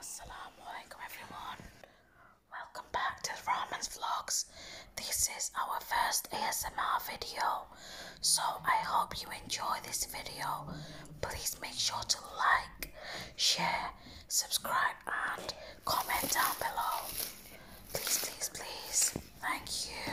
Assalamualaikum everyone. Welcome back to Raman's Vlogs. This is our first ASMR video. So I hope you enjoy this video. Please make sure to like, share, subscribe and comment down below. Please, please, please. Thank you.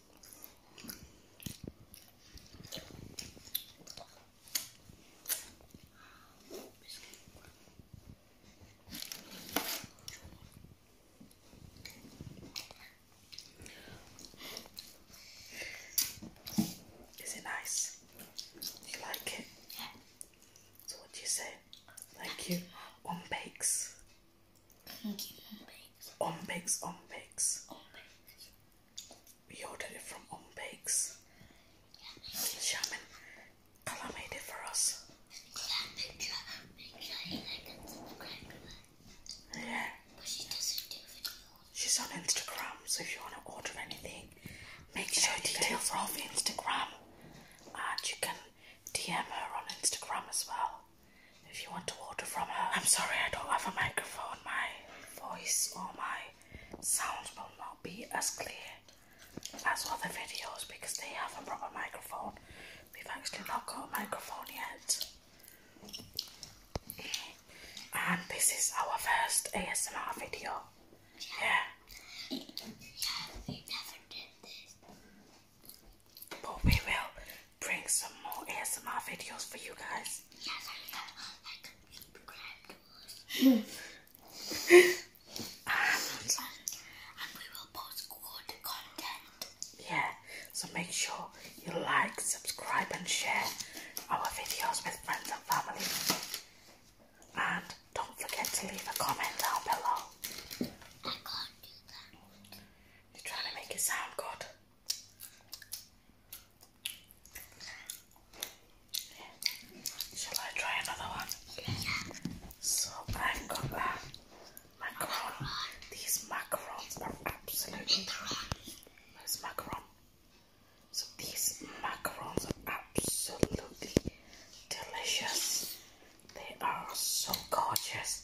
Is it nice? you like it? Yeah. So what do you say? Thank you. One bakes. Ombakes. Ombakes, Ombakes. Ombakes. We ordered it from Ombakes. Yeah, Shaman, Kala made it for us. Yeah, She's on Instagram, so if you want to order anything, make sure you get it from Instagram. And you can DM her on Instagram as well. If you want to water from her, I'm sorry I don't have a microphone. My voice or my sounds will not be as clear as other videos because they have a proper microphone. We've actually not got a microphone yet. And this is our first ASMR video. Yeah. But we will bring some more ASMR videos for you guys. Um, and, we will post good content. Yeah, so make sure you like, subscribe and share our videos with friends and family. And don't forget to leave a comment down below. You're trying to make it sound good. Shall I try another one? So I've got uh, macaron. These macarons are absolutely Where's macaron? So these macarons are absolutely delicious. They are so gorgeous.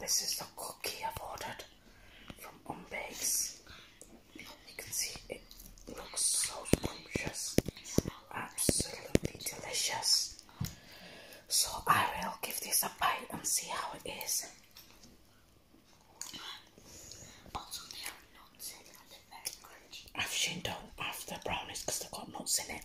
this is the cookie I've ordered from Unbakes. You can see it looks so scrumptious, absolutely delicious. So I will give this a bite and see how it is. I've seen do after brownies because they've got nuts in it.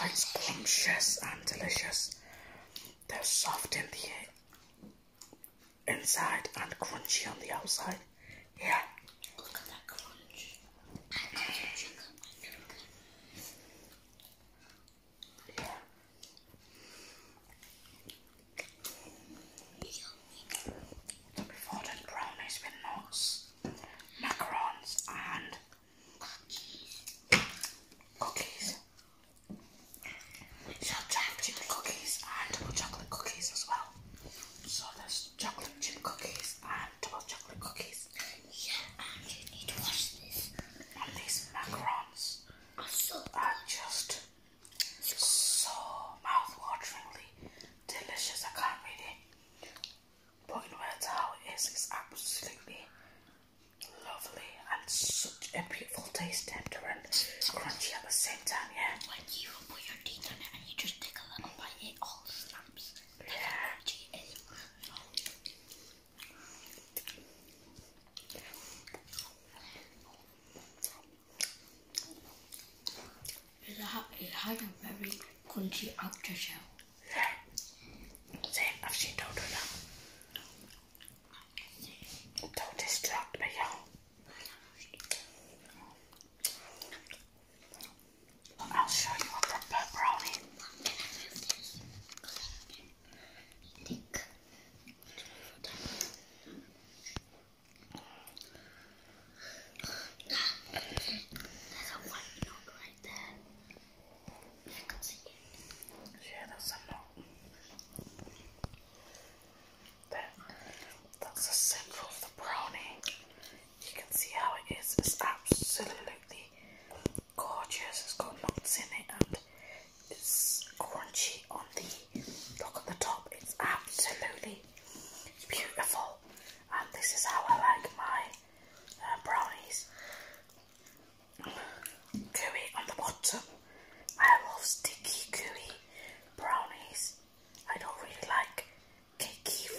like scrumptious and delicious. They're soft in the inside and crunchy on the outside. Yeah. Look at that crunch. Yeah. We've ordered brownies with nuts, macarons, and Cookies. Cookies. chip cookies and double chocolate cookies as well. So there's chocolate chip cookies and double chocolate cookies. Yeah, I you need to wash this. And these macarons are, so are just so mouthwateringly delicious. I can't read it. But in words how it is, it's absolutely lovely and such a beautiful taste, tender and crunchy at the same time, yeah. When you put your teeth on it and you just take a little bite, it all snaps. yeah. It, ha a very crunchy outer shell. There. I've seen don't do that. Don't distract me, I'll show you a proper brownie. There's a white dog right there. Yeah, that's a lot. that's a symbol of the brownie. You can see how it is. It's absolutely gorgeous. It's got nuts in it and it's crunchy on the look at the top. It's absolutely beautiful. And this is how I like my uh, brownies gooey on the bottom. I love sticky, gooey brownies. I don't really like cakey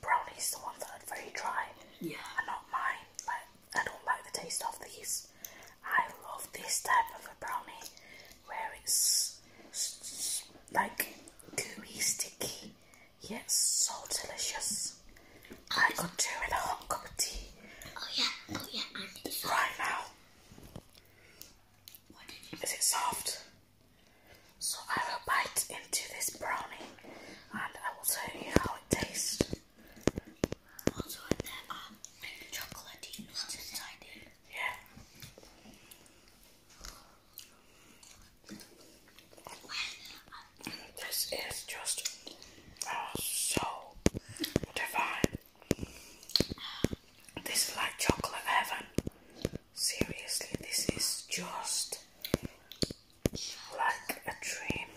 brownies, the ones that are very dry. Yeah. Are not mine. Like I don't like the taste of these. I love this type of a brownie where it's like gooey, sticky, yeah, it's so delicious. I got two with a hot cup of tea. Oh yeah, oh yeah, and it's right now. Is it soft? So I will bite into this brownie and I will tell you how it tastes. Also in um, chocolatey inside it. Yeah. This is just oh, so divine. This is like chocolate heaven. Seriously, this is just like a dream.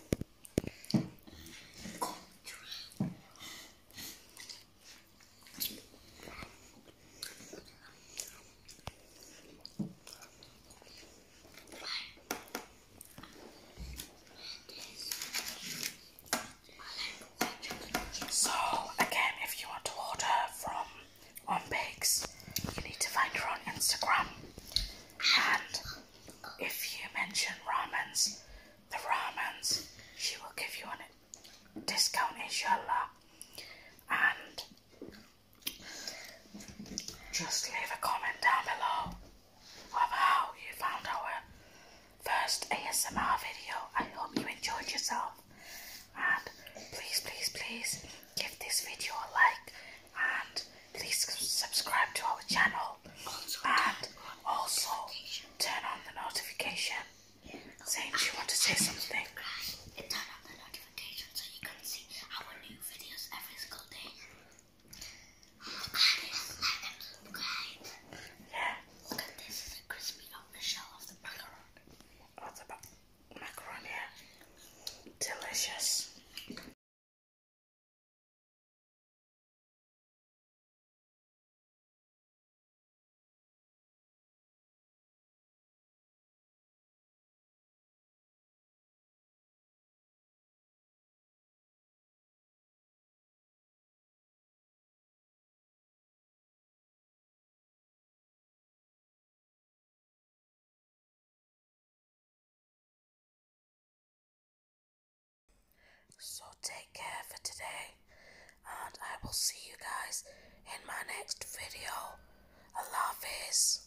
So again, if you want to order from On Bakes, you need to find her on Instagram. And if you mention ramens, the ramens, she will give you a discount, inshallah. And just leave a comment down below of how you found our first ASMR video. I hope you enjoyed yourself. And please, please, please give this video a like and please subscribe to our channel and also turn on the notification. Saying you want to say something. turn on the notification so you can see our new videos every single day. I Look at this, crispy on shell of the macaron. Of the ma yeah. Delicious. So take care for today, and I will see you guys in my next video. love Hafiz.